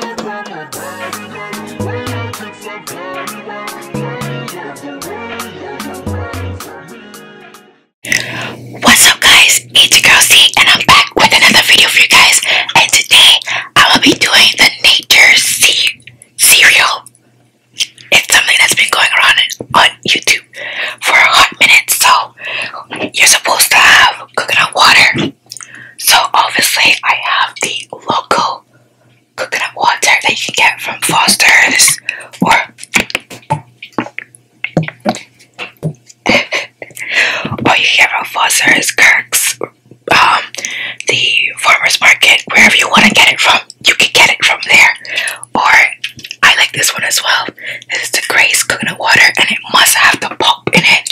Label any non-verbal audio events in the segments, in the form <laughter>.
What's up guys, it's your girl C and I'm back with another video for you guys and today I will be doing the nature C cereal. It's something that's been going around on YouTube for a hot minute so you're supposed to have coconut water, so obviously I have the local coconut water that you can get from Foster's or <laughs> you can get from Foster's, Kirk's, um, the farmer's market, wherever you want to get it from, you can get it from there. Or I like this one as well. This is the Grace coconut water and it must have the pulp in it.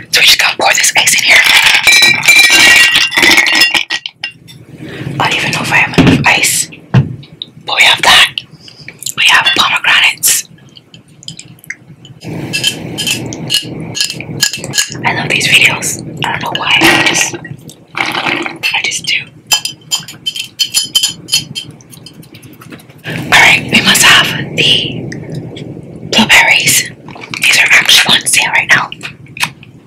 So we just gotta pour this ice in here. I don't even know if I have ice. But we have that. We have pomegranates. I love these videos. I don't know why. I just do. Alright, we must have the blueberries. These are actually on sale right now. I'm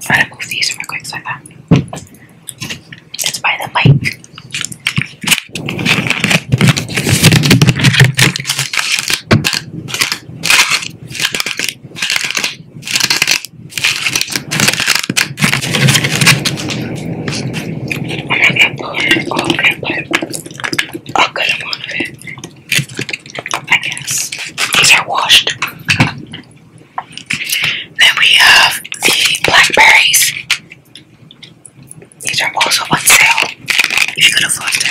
gonna move these real quick so I thought. It's by the mic. I'm gonna put a good amount of it oh, I guess. These are washed. Then we have the blackberries. These are also on sale if you could afford this.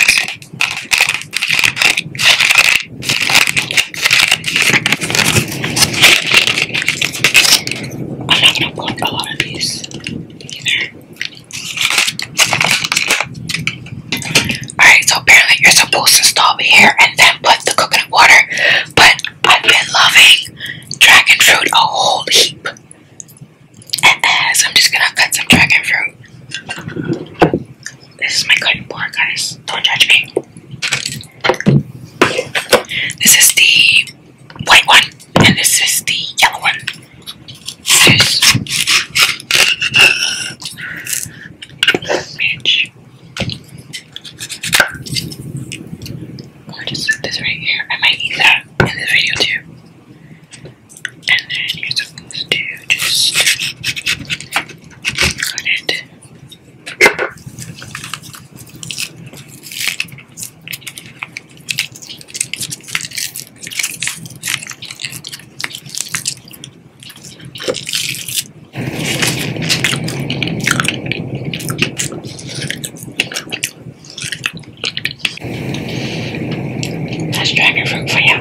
I'm not gonna put a lot of these either. Alright, so apparently you're supposed to stop here and then put the coconut water. But I've been loving dragon fruit a whole heap. And I'm just gonna cut some dragon fruit. This is my cutting board, guys. Don't judge me. This is the white one, and this is the yellow one this bitch. Gorgeous, this right here. I might need that in this video too. And then you're supposed to just cut it. That's dragon fruit for you.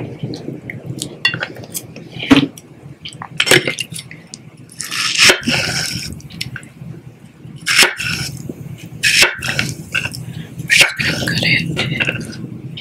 Good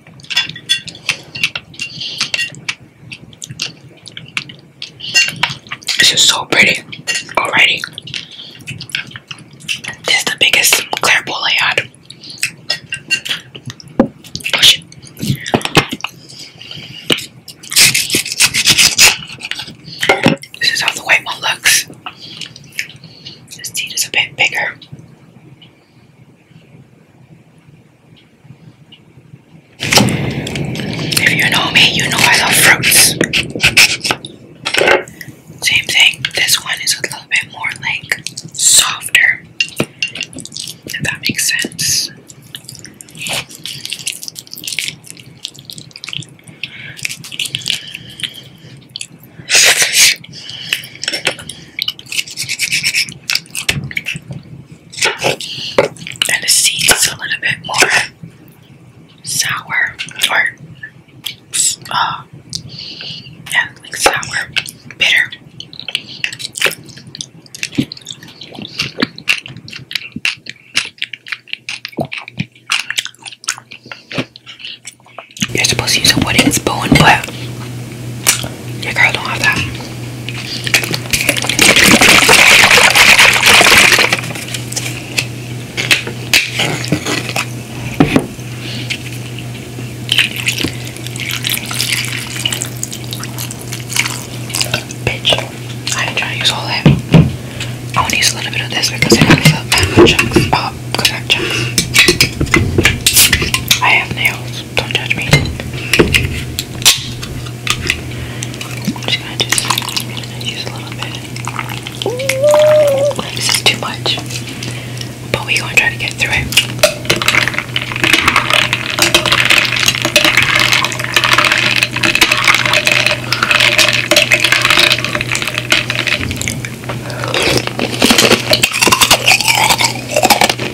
This is so pretty already. This is the biggest clear bowl I had. This is how the white one looks. This teeth is a bit bigger. If you know me, you know I love fruits. Same thing. This one is a little bit more like softer. If that makes sense. And the seed is a little bit more sour or uh, yeah, like sour, bitter. You're supposed to use a wooden spoon, but your girl don't have that. Bitch, I ain't trying to use all that. I only use a little bit of this because I got up chunks. Oh, chunks. I have nails. Don't judge me. just gonna just use a little bit. This is too much, but we gonna try to get through it.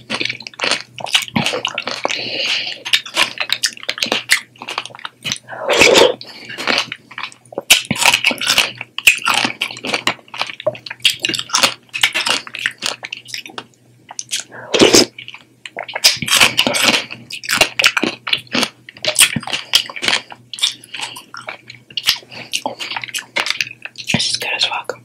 It's as good as welcome.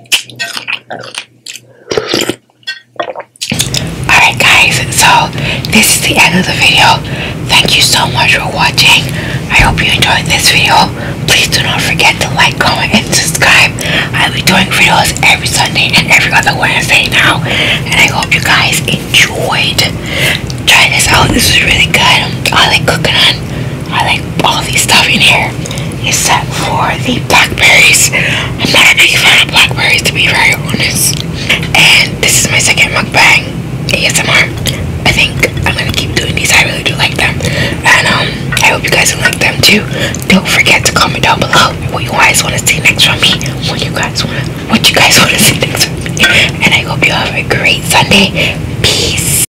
Alright guys, so this is the end of the video. Thank you so much for watching. I hope you enjoyed this video. Please do not forget to like, comment, and subscribe. I'll be doing videos every Sunday and every other Wednesday now. And I hope you guys enjoyed. Try this out. This is really good. I like cooking on I like all these stuff in here except for the blackberries. I'm not a big fan of blackberries to be very honest. And this is my second mukbang ASMR. I think I'm gonna keep doing these. I really do like them. And um I hope you guys like them too. Don't forget to comment down below what you guys wanna see next from me. What you guys want what you guys wanna see next from me. And I hope you have a great Sunday. Peace.